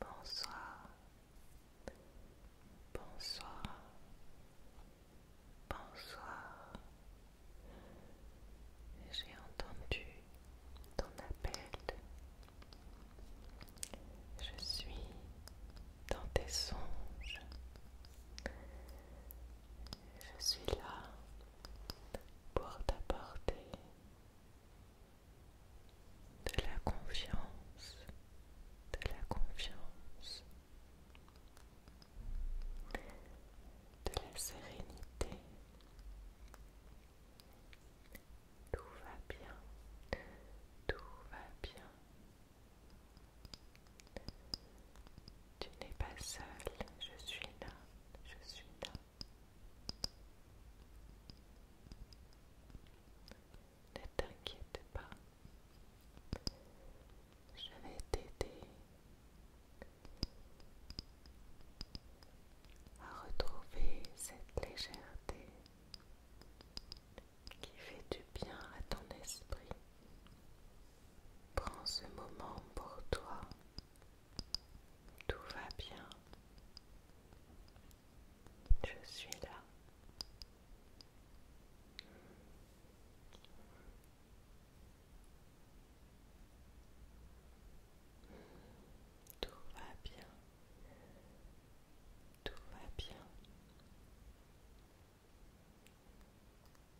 Bonsoir, bonsoir, bonsoir. J'ai entendu ton appel. Je suis dans tes songes. Je suis là pour t'apporter de la confiance, de la confiance, de la sérénité. Tout va bien, tout va bien. Tu n'es pas seul, je suis là, je suis là. Ne t'inquiète pas, je vais t'aider à retrouver cette légèreté qui fait du bien à ton esprit. Prends ce moment pour toi. Tout va bien. Je suis là. Tout va bien. Tout va bien.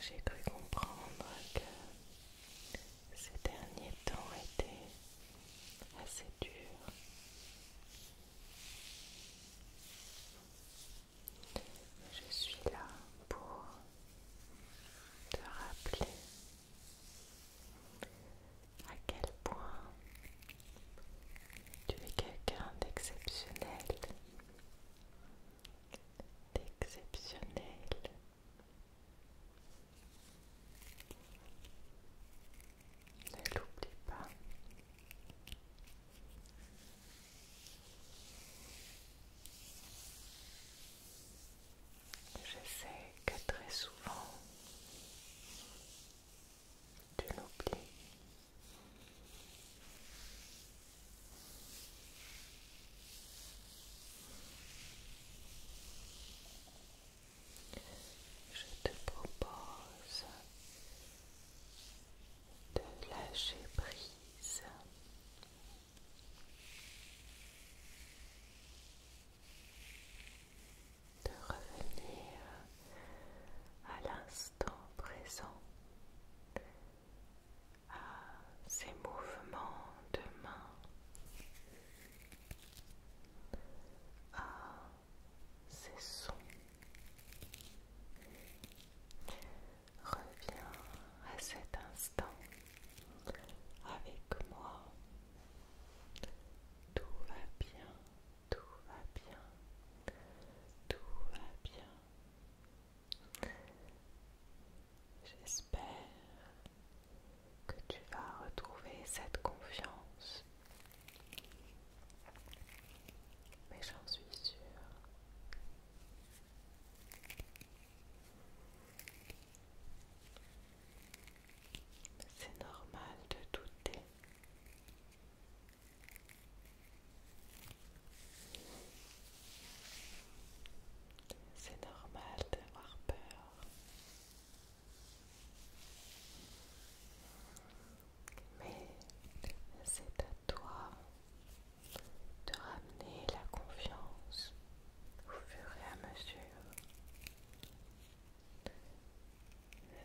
J'ai cru comprendre que ces derniers temps étaient assez durs. Je suis là pour te rappeler à quel point tu es quelqu'un d'exceptionnel, d'exceptionnel, ne l'oublie pas. Je sais que très souvent tu l'oublies. Je te propose de lâcher prise. De revenir à l'instant présent à ces mouvements de main, à ah, ces sons. Reviens à cet instant avec moi. Tout va bien, tout va bien, tout va bien. J'espère que tu vas retrouver cette confiance. Mais j'en suis sûre. C'est normal de douter. C'est normal d'avoir peur. Mais c'est à toi de ramener la confiance au fur et à mesure,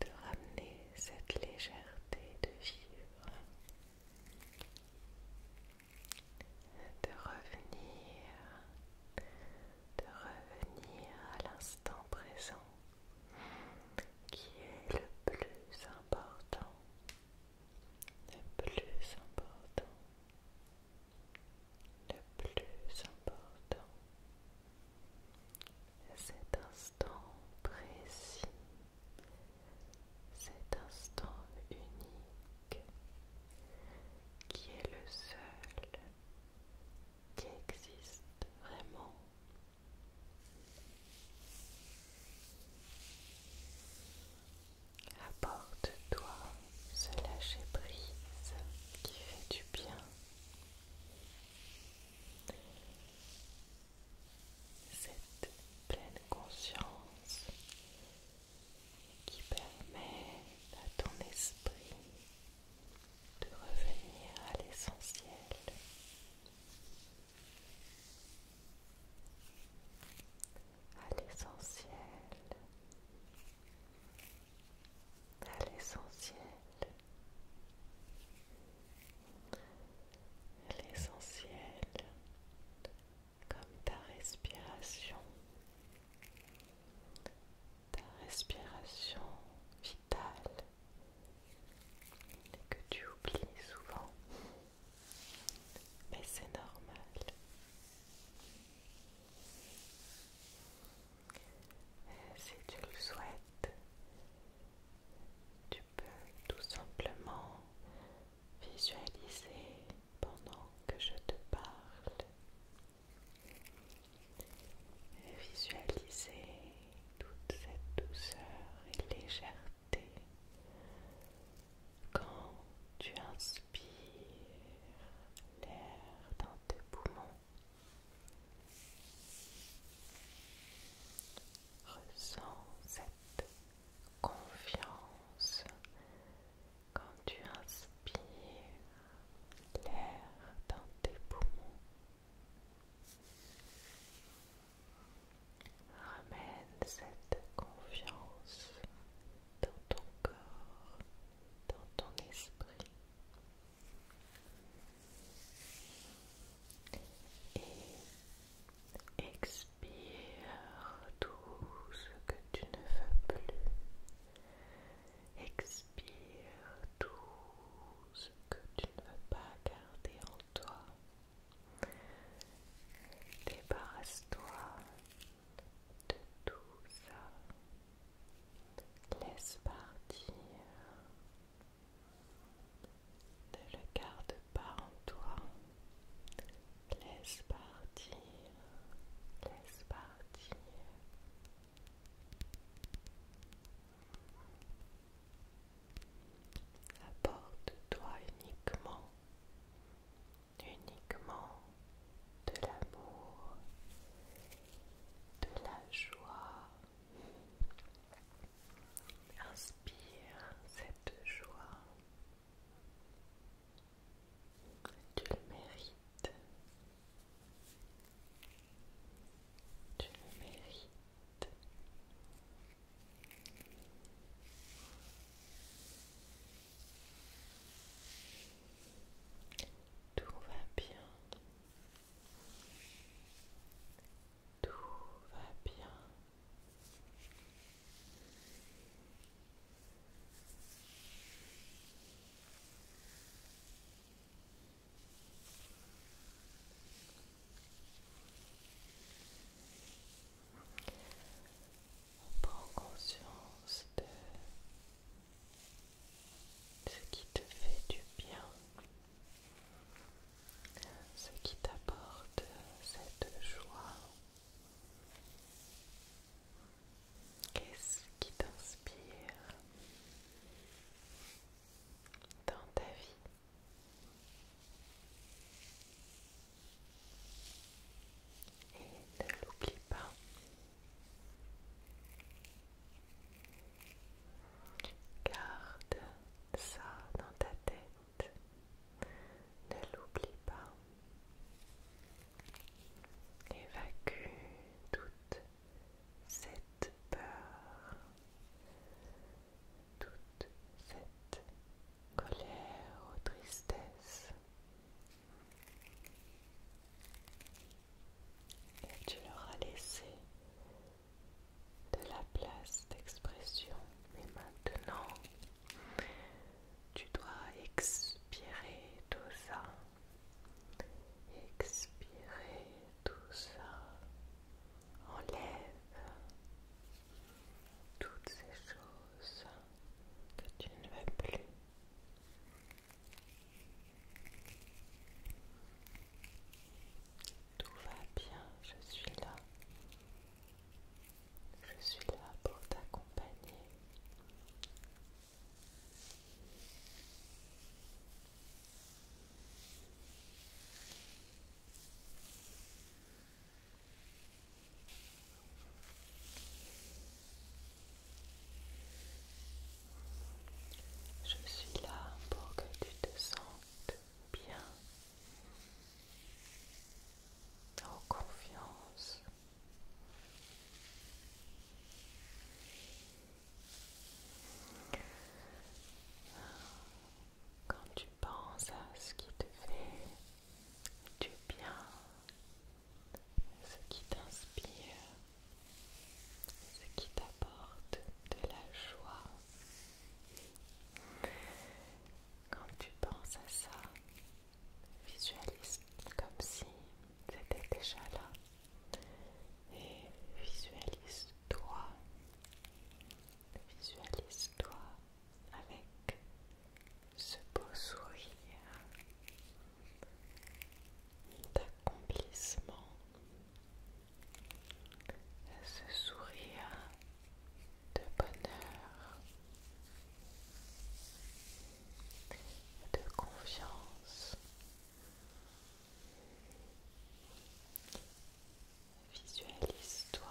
de ramener cette légèreté de vivre de revenir, de revenir à l'instant présent qui est le plus important, le plus important, le plus important. Cet instant précis, cet instant uni qui est le seul qui existe vraiment. Apporte-toi ce lâcher-prise qui fait du bien. Cette pleine conscience qui permet à ton esprit de revenir à l'essentiel. À l'essentiel. À l'essentiel. L'essentiel comme ta respiration, ta respiration vitale que tu oublies souvent, mais c'est normal. si tu le souhaites, tu peux tout simplement visualiser pendant que je te parle. Visualisez toute cette douceur et légèreté quand tu inspires l'air dans tes poumons. Ressens cette confiance quand tu inspires l'air dans tes poumons, ramène cette confiance dans ton corps, dans ton esprit. Et expire tout tout ce que tu ne veux plus. Expire tout ce que tu ne veux pas garder en toi. Débarrasse-toi de tout ça. Laisse partir. Ne le garde pas en toi. Laisse partir laisse partir. Apporte-toi uniquement, uniquement de l'amour, de la joie. Inspire cette joie. Tu le mérites. Tu le mérites. Tout va bien. Tout va bien. Prends conscience de ce qui te fait du bien, ce qui t'apporte cette joie. Qu'est-ce qui t'inspire dans ta vie et ne l'oublie pas. Garde ça dans ta tête. Ne l'oublie pas. Évacue toute cette peur, toute cette colère ou tristesse. Et tu leur as laissé de la place d'expression. Mais maintenant, tu dois expirer tout ça. Expirez tout ça. Enlève toutes ces choses que tu ne veux plus. Tout va bien, je suis là. Je suis là pour t'accompagner. Je suis là pour que tu te sentes bien en confiance quand tu penses à ce qui te fait du bien, ce qui t'inspire, ce qui t'apporte de la joie, quand tu penses à ça, visualise comme si c'était déjà là. Et visualise-toi, visualise-toi avec ce beau sourire d'accomplissement, ce sourire de bonheur de confiance. Visualise-toi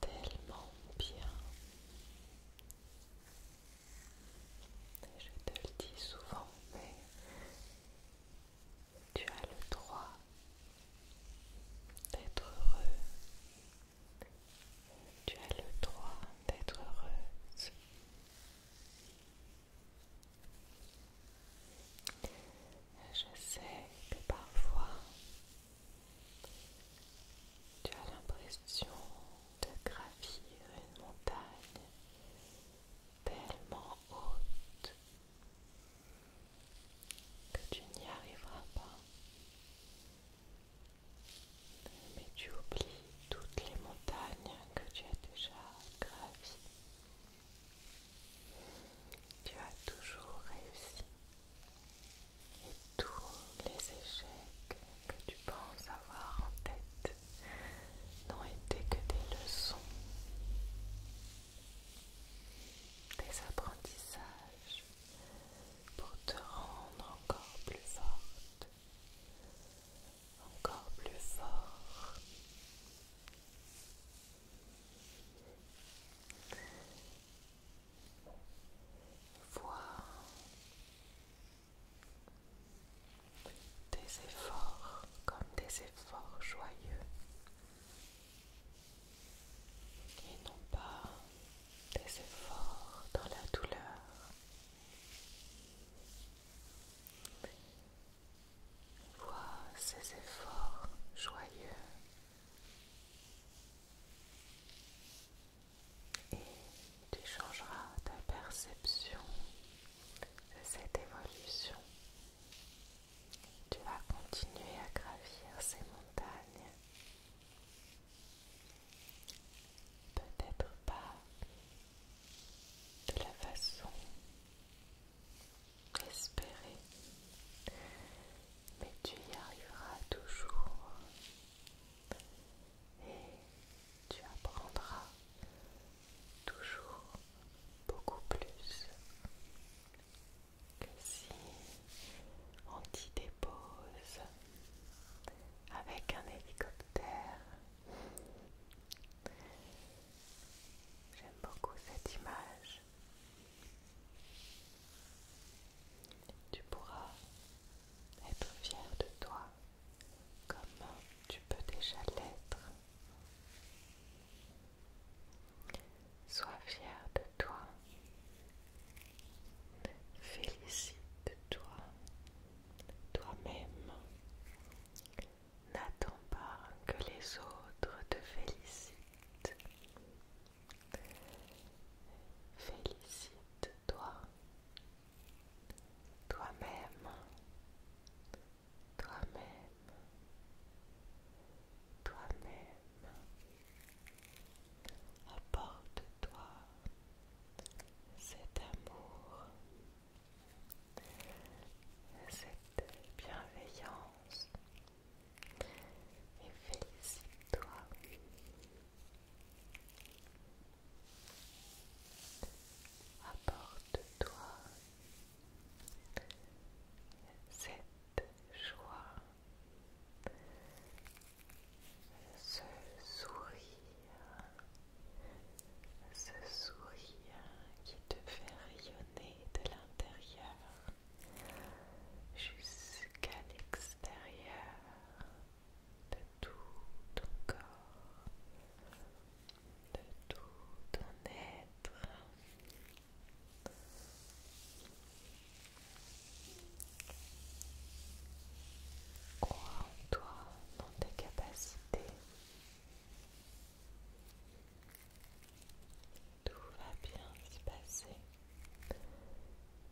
tellement bien. Je te le dis souvent, mais tu as le droit d'être heureux tu as le droit d'être heureuse. Je sais que parfois tu as l'impression de gravir une montagne tellement haute que tu n'y arriveras pas. Mais tu oublies toutes les montagnes que tu as déjà gravies. Tu as toujours réussi. Et tous les échecs que tu penses avoir en tête n'ont été que des leçons, des apprentissages pour te rendre encore plus forte, encore plus fort. voir des efforts comme des efforts joyeux et non pas des efforts dans la douleur. Vois ces efforts joyeux et tu changeras ta perception de cette évolution. Tu vas continuer à gravir ces montagnes Peut-être pas de la façon espérée, mais tu y arriveras toujours et tu apprendras toujours beaucoup plus que si on t'y dépose avec un hélicoptère. J'aime beaucoup cette image. Tu pourras être fier de toi comme tu peux déjà l'être. Sois fier de toi Félicite-toi toi-même. N'attends pas que les autres te félicitent. Félicite-toi toi-même. Toi-même. Toi-même. Apporte toi cet amour, cette bienveillance et félicite-toi. Apporte-toi cette joie, ce sourire, ce sourire qui te fait rayonner de l'intérieur jusqu'à l'extérieur de tout ton corps, de tout ton être. Crois en toi, dans tes capacités. Tout va bien se passer.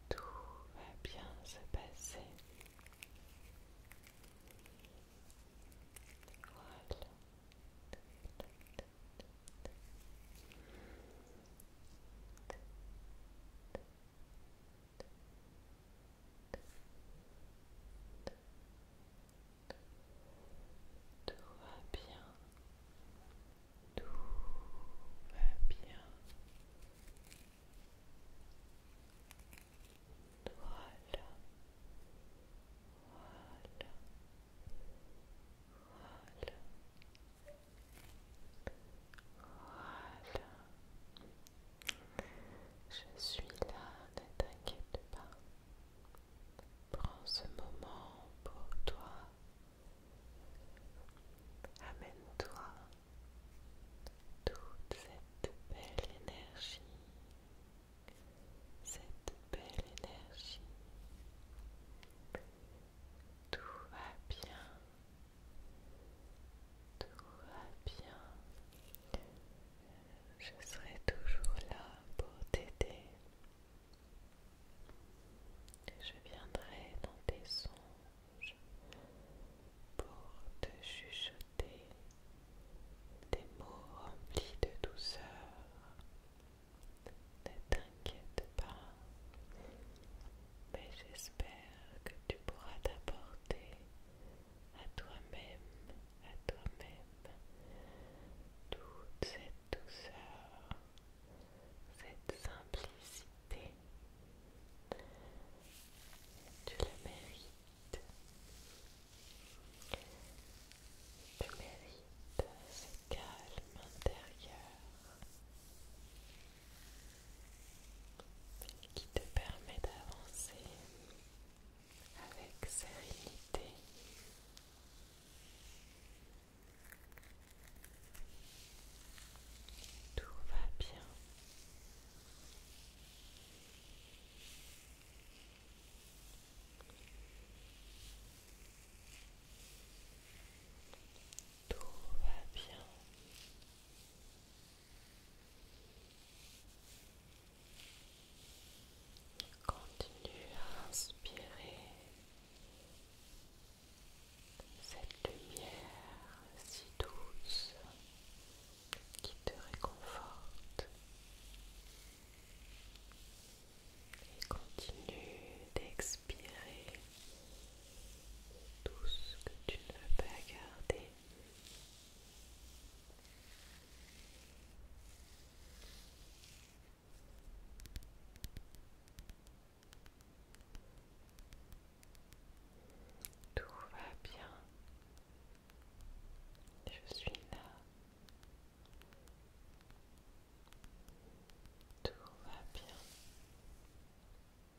Tout va bien se passer. Tout va bien. Tout va bien. Voilà. Voilà. Voilà. Voilà. Je suis là, ne t'inquiète pas. Prends ce moment pour toi. Amène-toi toute cette belle énergie, cette belle énergie. Tout va bien. Tout va bien. Je serai toujours là pour t'aider. Je viendrai dans tes songes pour te chuchoter des mots remplis de douceur. Ne t'inquiète pas, mais j'espère que tu pourras t'apporter à toi-même, à toi-même, toute cette douceur, cette simplicité. Tu le mérites. Tu mérites ce calme intérieur qui te permet d'avancer avec sérénité. Tout va bien. Tout va bien. Continue à inspirer cette lumière si douce qui te réconforte et continue d'expirer tout ce que tu ne veux pas garder tout va bien. Je suis là. Tout va bien.